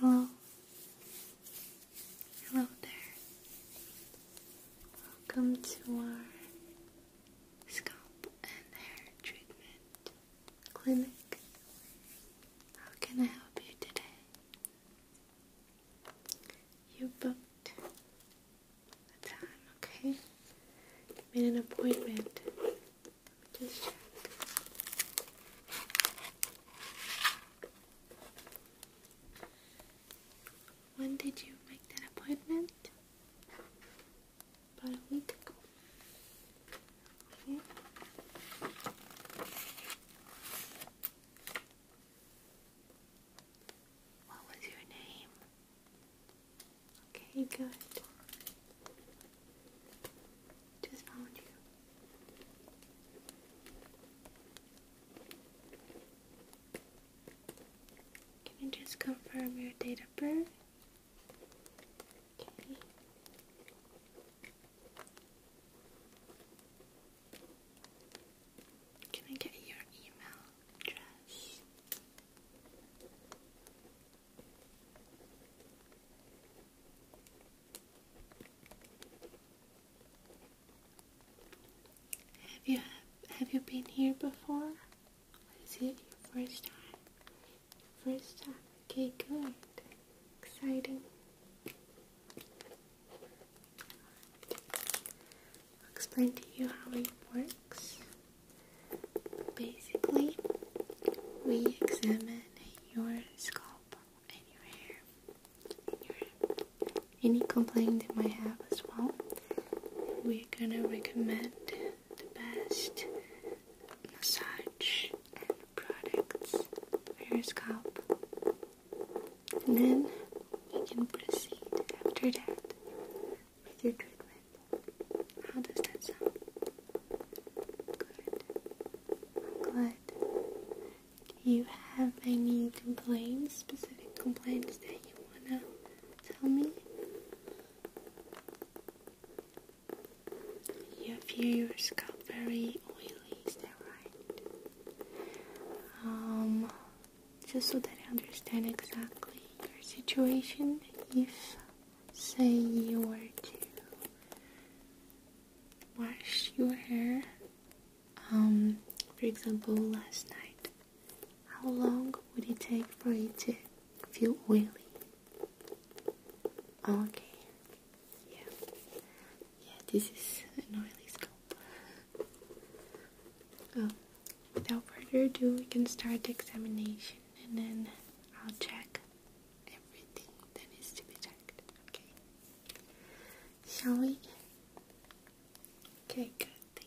Hello. Hello there. Welcome to our Scalp and Hair Treatment Clinic. How can I help you today? You booked a time, okay? made an appointment. Let when did you make that appointment? About a week ago. Okay. What was your name? Okay, good. Just found you. Can you just confirm your date of birth? Can I get your email address? Have you have you been here before? Is it your first time? First time. Okay, good. Exciting. I'll explain to you how it works. Basically, we examine your scalp and your hair, and your, any complaint you might have as well we're gonna recommend the best massage products for your scalp. And then we can proceed after that with your treatment. How does that sound? Good. Glad. Do you have any complaints, specific complaints that you wanna Tell me you feel your scalp very oily, is that right? Um, just so that I understand exactly your situation, if say you were to wash your hair, um, for example, last night, how long would it take for you to feel oily? Okay, yeah, yeah, this is an oily scalp. Oh, without further ado, we can start the examination and then I'll check everything that needs to be checked. Okay, shall we? Okay, good,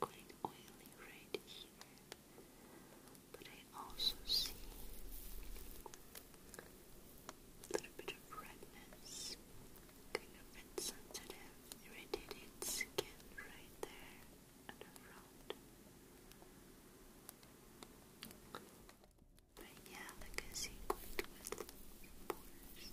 quite oily right here, but I also see a bit of redness, kind of insensitive, irritated skin right there around. But yeah, like I see quite with pores.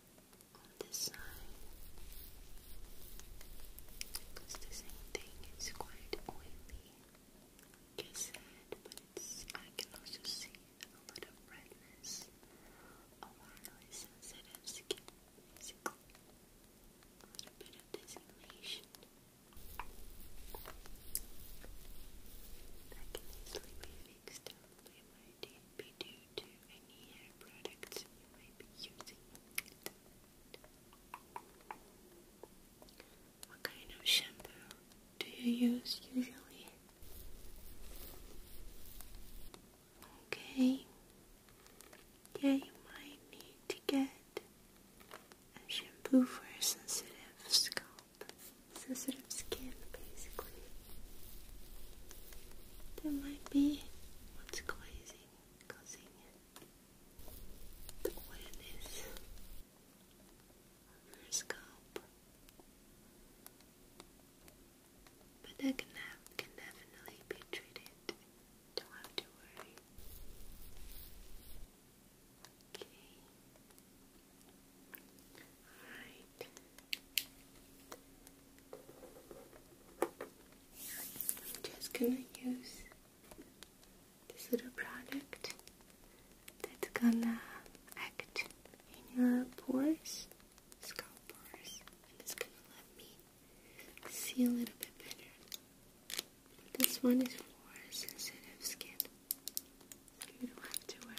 on this side because the same thing is quite oily just said but I can also see a lot of redness on my sensitive skin a bit of designation that can easily mistakes might be due to any hair products you might be using. What kind of shampoo do you use usually? Okay. Yeah, you might need to get a shampoo for a sensitive scalp, sensitive skin, basically. There might be what's causing causing The oiliness of But that can definitely be treated. Don't have to worry. Okay. Alright. I'm just gonna use this little product that's gonna act in your pores, scalp pores, and it's gonna let me see a little bit better. This one is for sensitive skin. You don't have to worry.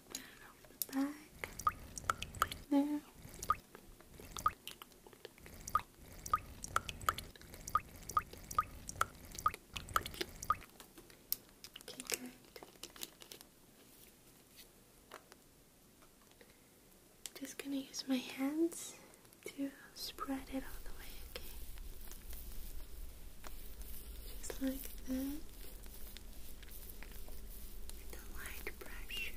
Just gonna use my hands to spread it all the way, okay? Just like that. With light pressure.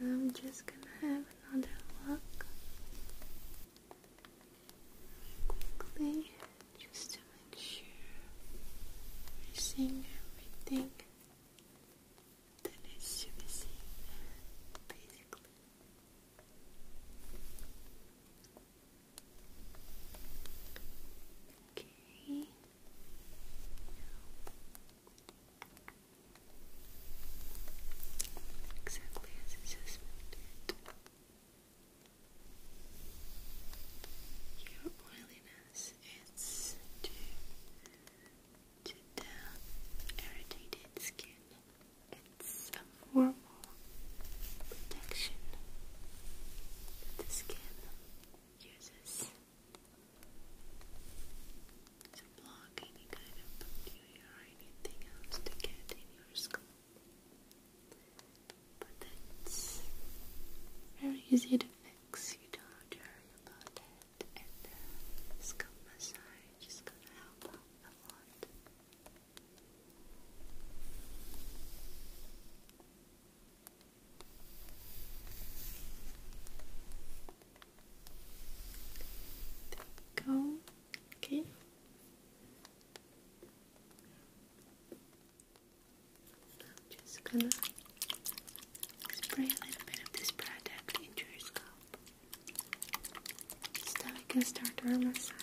I'm just gonna have another look quickly just to make sure we're everything that needs basically. Okay. Exactly as it says Your oiliness is due to the irritated skin. It's a form protection that the skin uses to block any kind of bacteria or anything else to get in your skull. But that's very easy to fix, you don't worry about that. And the uh, scalp massage is gonna help a lot go. Okay. just gonna spray a little bit of this product into your scalp. So we can start our massage.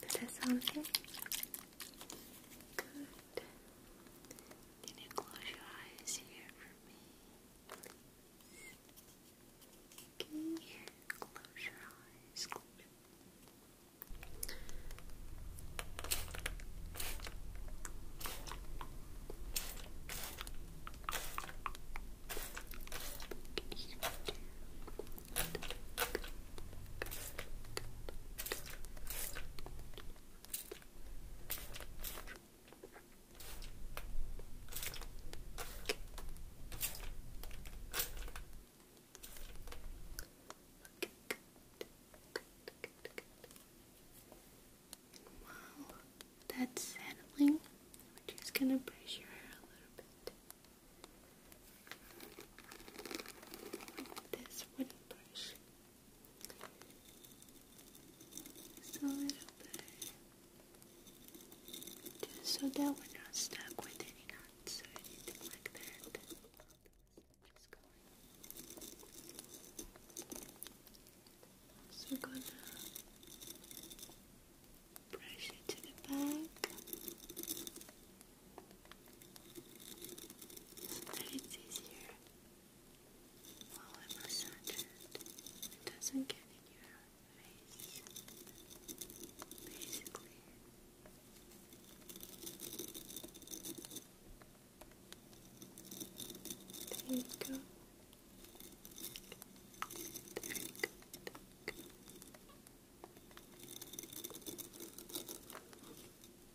that sound okay? Good. Can you close your eyes here for me? Please. close your eyes. Wow, that's settling. We're just gonna brush your hair a little bit. This wooden brush so that we're not stuck with any knots or anything like that. So we're gonna brush it to the back. So it's easier while I massage it, it doesn't get any your basically. There you go. There you go.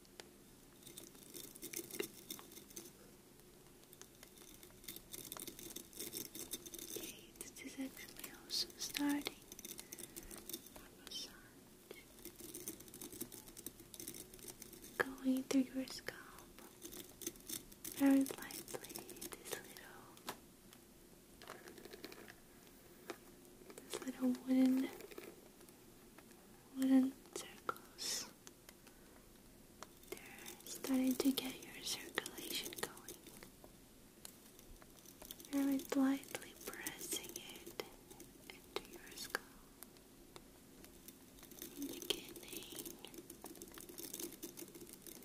Okay, this is actually also starting going through your scalp very lightly. This little, this little wooden wooden circles. They're starting to get your circulation going. Very lightly pressing it into your skull. Beginning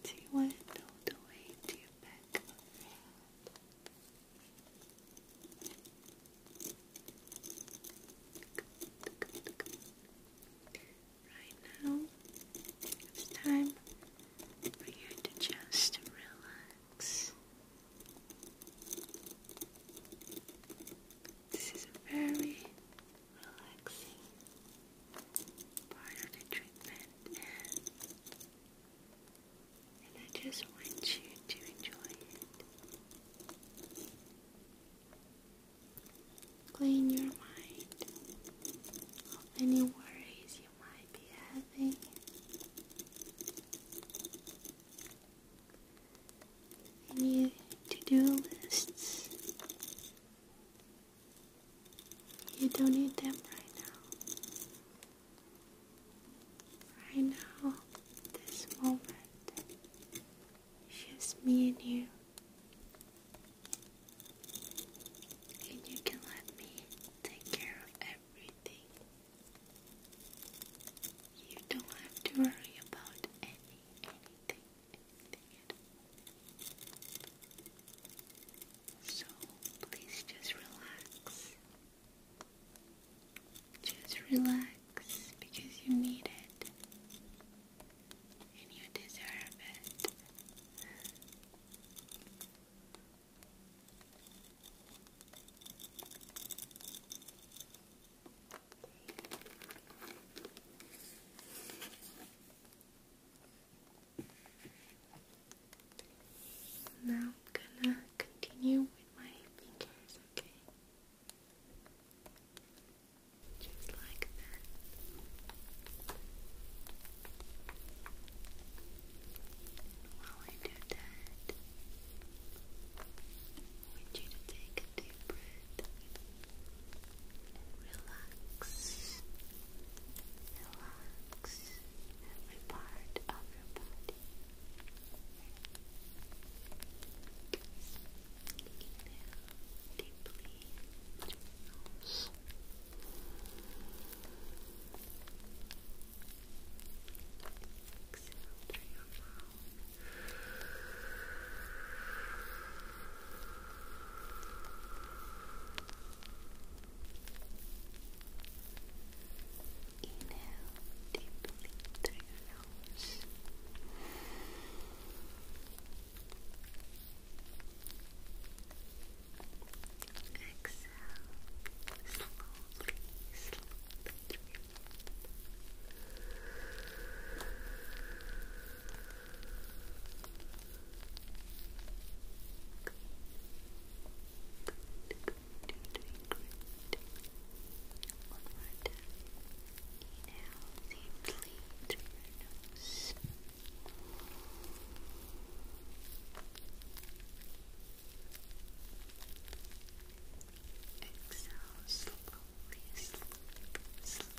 to want the way to your back Right now, it's time for you to just relax. This is a very relaxing part of the treatment, and, I just want you to enjoy it. Clean your mind of any worries you might be having. Any to-do lists. You don't need them right now. Right now, this moment, it's just me and you. And you can let me take care of everything. You don't have to worry about any, anything, at all. So please just relax. Just relax because you need it and you deserve it. Now I'm gonna continue with my fingers, okay? Just like that. while I do that, want you to take a deep breath and relax. Relax every part of your body deeply through your nose. Exhale through your mouth. Inhale deeply through your nails. Exhale slowly, slowly. One more time now deeply through Exhale slowly, slowly,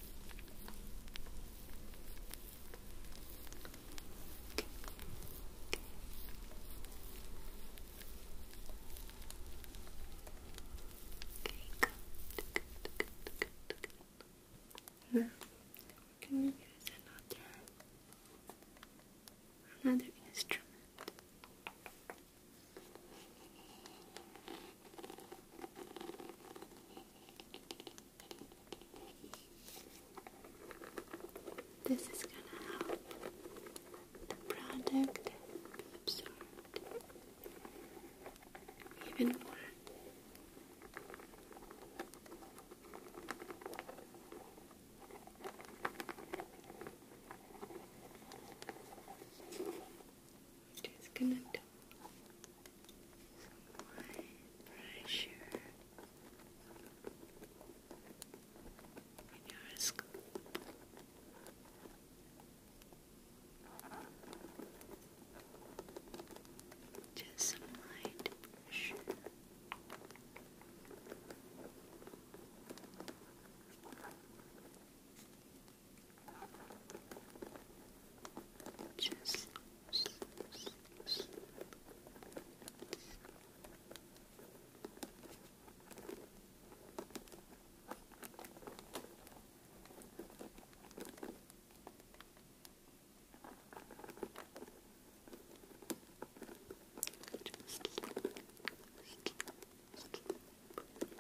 Now we can use another instrument. This is gonna help the product be even more just gonna dump some light pressure Just some light pressure. Just just sleep, sleep, sleep, sleep,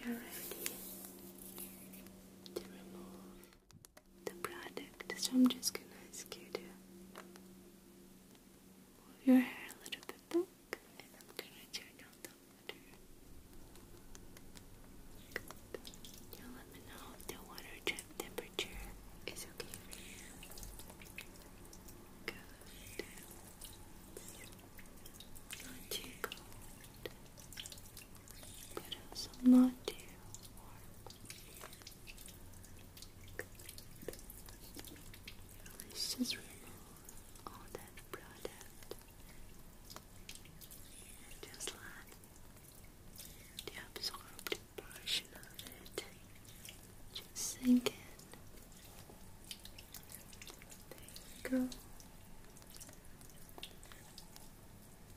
Now you're ready to remove the product, so I'm just gonna ask you to move your hair a little bit back, and I'm gonna turn on the water. Good. Now let me know if the water drip temperature is okay Not too cold but also not too Let's just remove all that product. Just let the absorbed portion of it just sink in. There you go.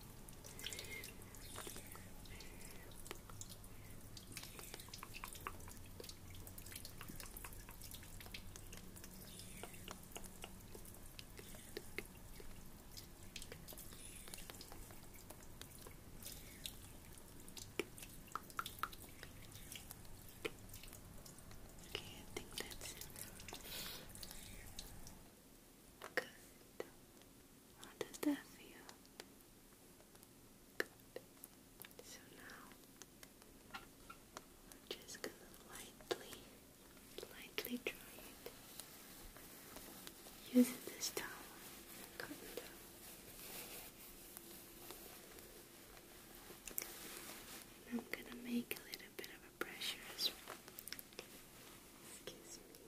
Okay, I think that's it. Good. How does that feel? So now I'm just gonna lightly, lightly dry it using this towel I'm gonna make a little bit of a pressure Excuse me.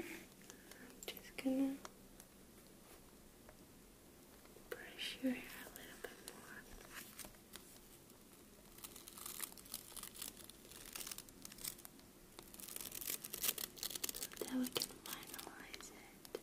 I'm Just gonna brush your hair a little bit more. So that we can finalize it.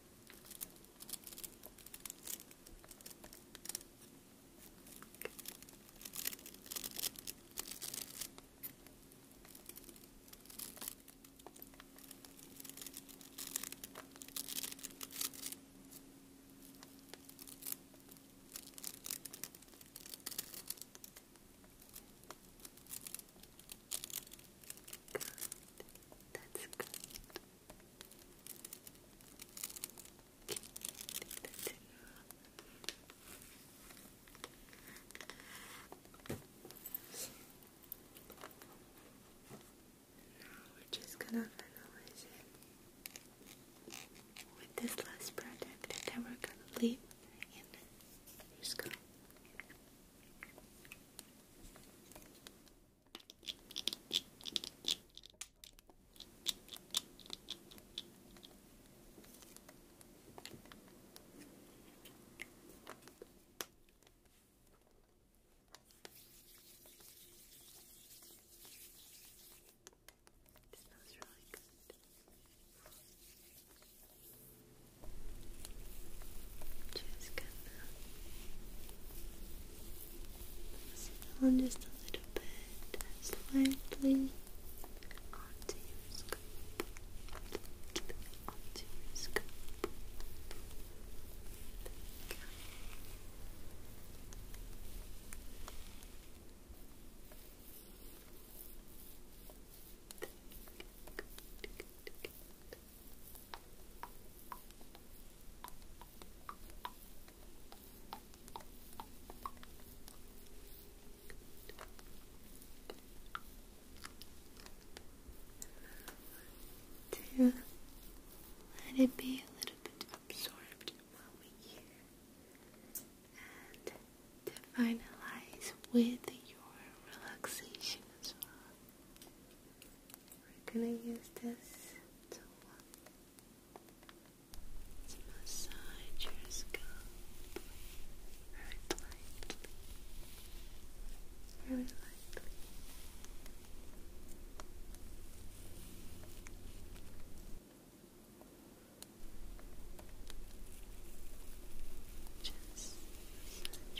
Good. That's good. Now we're just gonna finalize it with this last product and we're gonna leave and just go. It smells really good. Just gonna down just a little bit, slightly onto your scalp, onto your scalp to let it be a little bit absorbed while we here and to finalize with your relaxation as well. We're gonna use this to, massage your scalp very lightly, very lightly. Just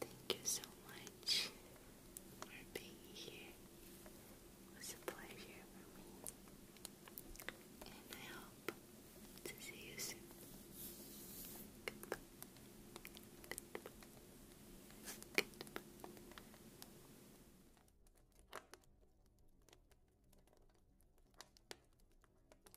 Thank you so much for being here. It was a pleasure for me. And I hope to see you soon. Goodbye. Goodbye. Goodbye.